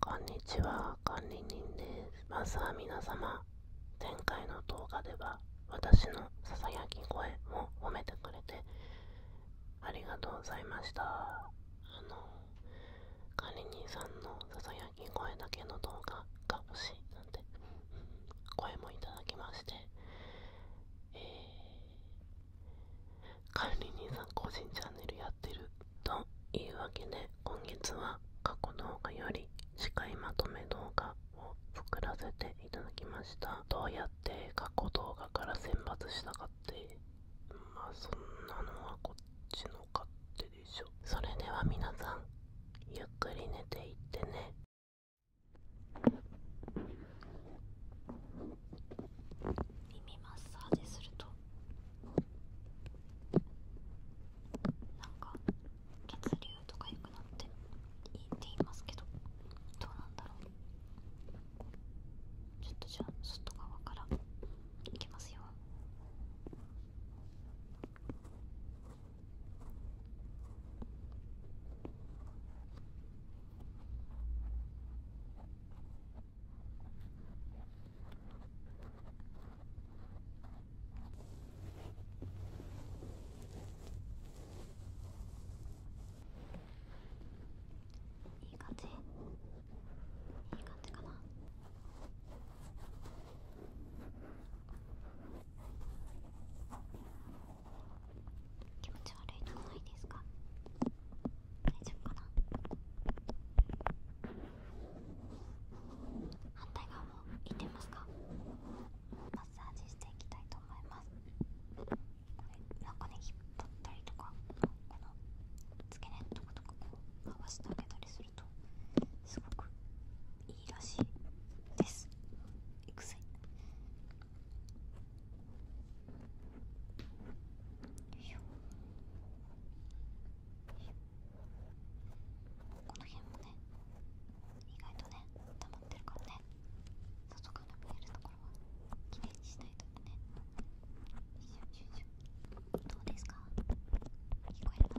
こんにちは、管理人です。まずは皆様、前回の動画では私のささやき声も褒めてくれてありがとうございました。あの、管理人さんのささやき声だけの動画が欲しいなんて、声もいただきまして、えー、管理人さん個人チャンネルやってるというわけで今月は過去動画より司会まとめ動画を作らせていただきましたどうやって過去動画から選抜したかってまあそんなのはこっちの勝手でしょそれでは皆さんゆっくり寝ていってね耳マッサージするとなんか血流とか良くなっていいって言いますけどどうなんだろうちょっとじゃあ外側からいきますよいい感じいい感じかな気持ち悪いのこないですか大丈夫かな反対側もいってみますかマッサージしていきたいと思いますなんかね引っ張ったりとかこの付け根のとことかこう回してあげたりするとすごくいいらしいですいくぜよいしょよいしょこの辺もね意外とね溜まってるからね外から見えるところはきれいにしないとねシュどうですか聞こえますか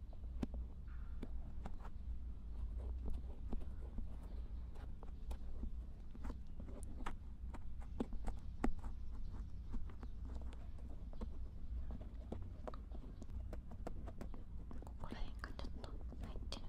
ここら辺がちょっと入ってるね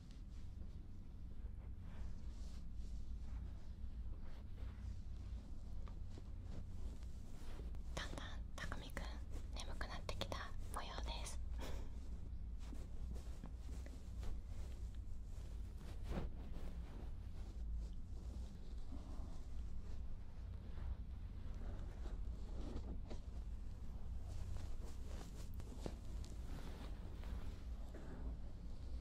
だんだんたくみくん眠くなってきた模様です周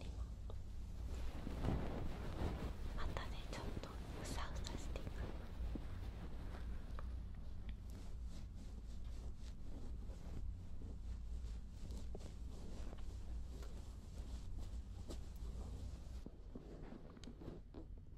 りもまたねちょっとふさふさしていま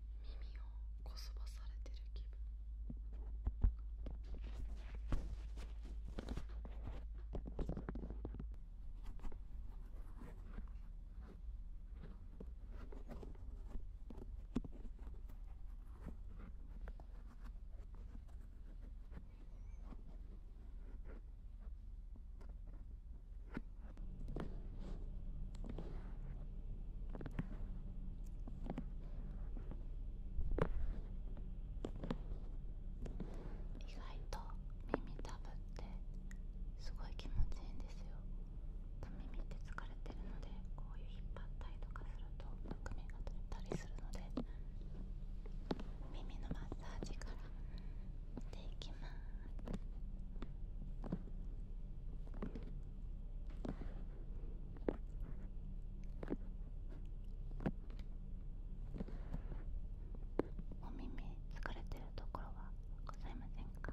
耳をこそばされてる気分意外と耳たぶってすごい気持ちいいんですよ耳って疲れてるのでこういう引っ張ったりとかするとむくみが取れたりするので耳のマッサージからしていきますお耳疲れてるところはございませんか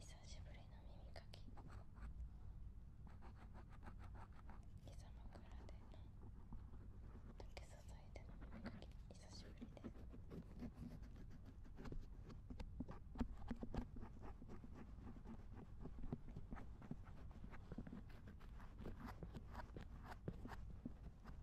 久しぶりの耳かき貴様かで。で竹支いでの耳かき久しぶりです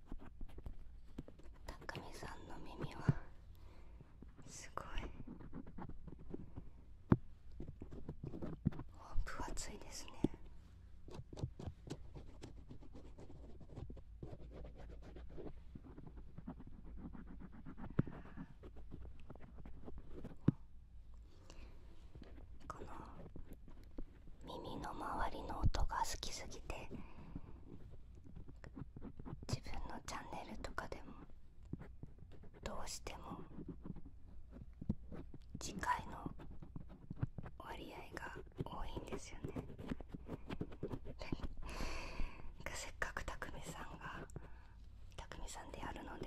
たくみさんの耳はすごい分厚いですねこの耳の周りの音が好きすぎて自分のチャンネルとかでもどうしても次回の割合が多いんですよねせっかくたくみさんがたくみさんであるので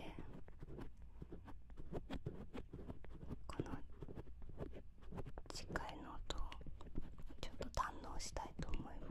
この次回の音をちょっと堪能したいと思います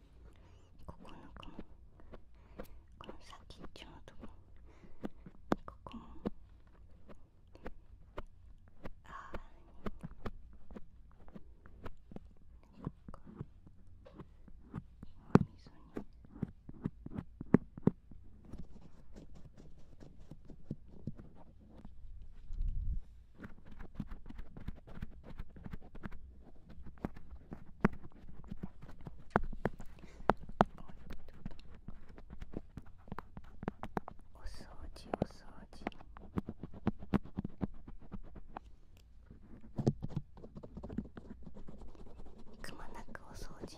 ここのこのこの先っちょのとこここもああここおみそお掃除お掃除くまなくお掃除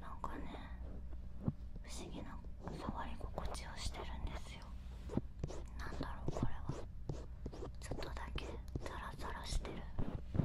なんかね不思議な触り心地をしてるんですよなんだろうこれはちょっとだけザラザラしてるこ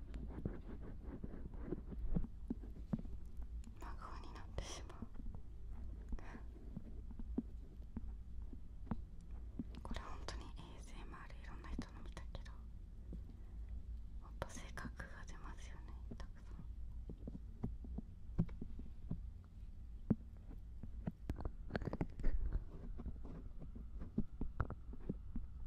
長尾になってしまうこれ本当に ASMR いろんな人の見たけどもっと性格が出ますよねたくさん。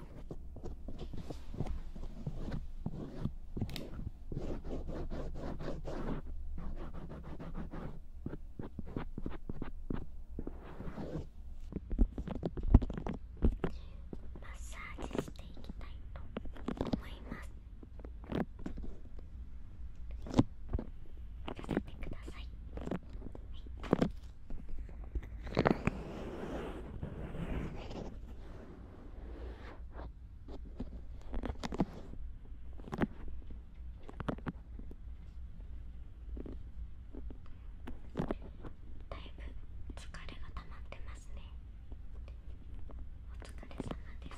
マッサージしていきたいと思いますだいぶ疲れがたまってますねお疲れ様です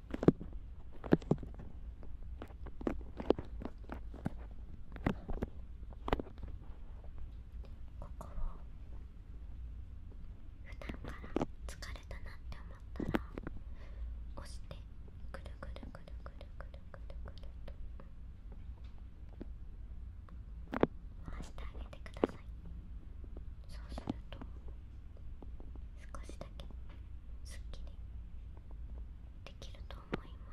ここを普段から疲れたなって思ったら押してくるくるくるくるくるくるくると回してあげてくださいそうすると少しだけすっきりできると思います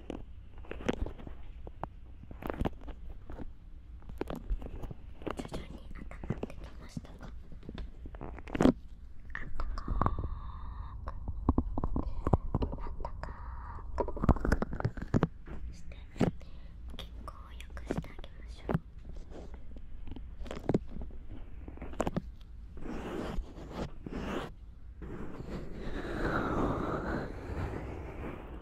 徐々に温まってきましたが、あったかーくあったかーして血行を良くしてあげましょうお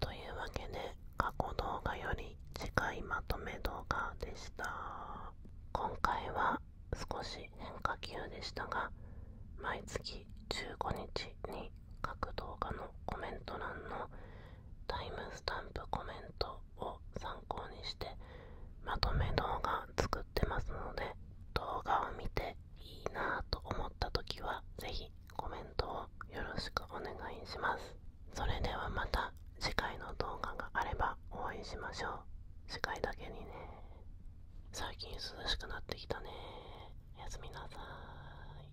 というわけで過去動画より近いまとめ動画でした今回は少し変化球でしたが毎月15日に各動画のコメント欄のタイムスタンプコメントを参考にしてまとめ動画作ってますので動画を見ていいなと思った時は是非コメントをよろしくお願いしますそれではまた次回の動画があれば応援しましょう次回だけにね最近涼しくなってきたねおやすみなさい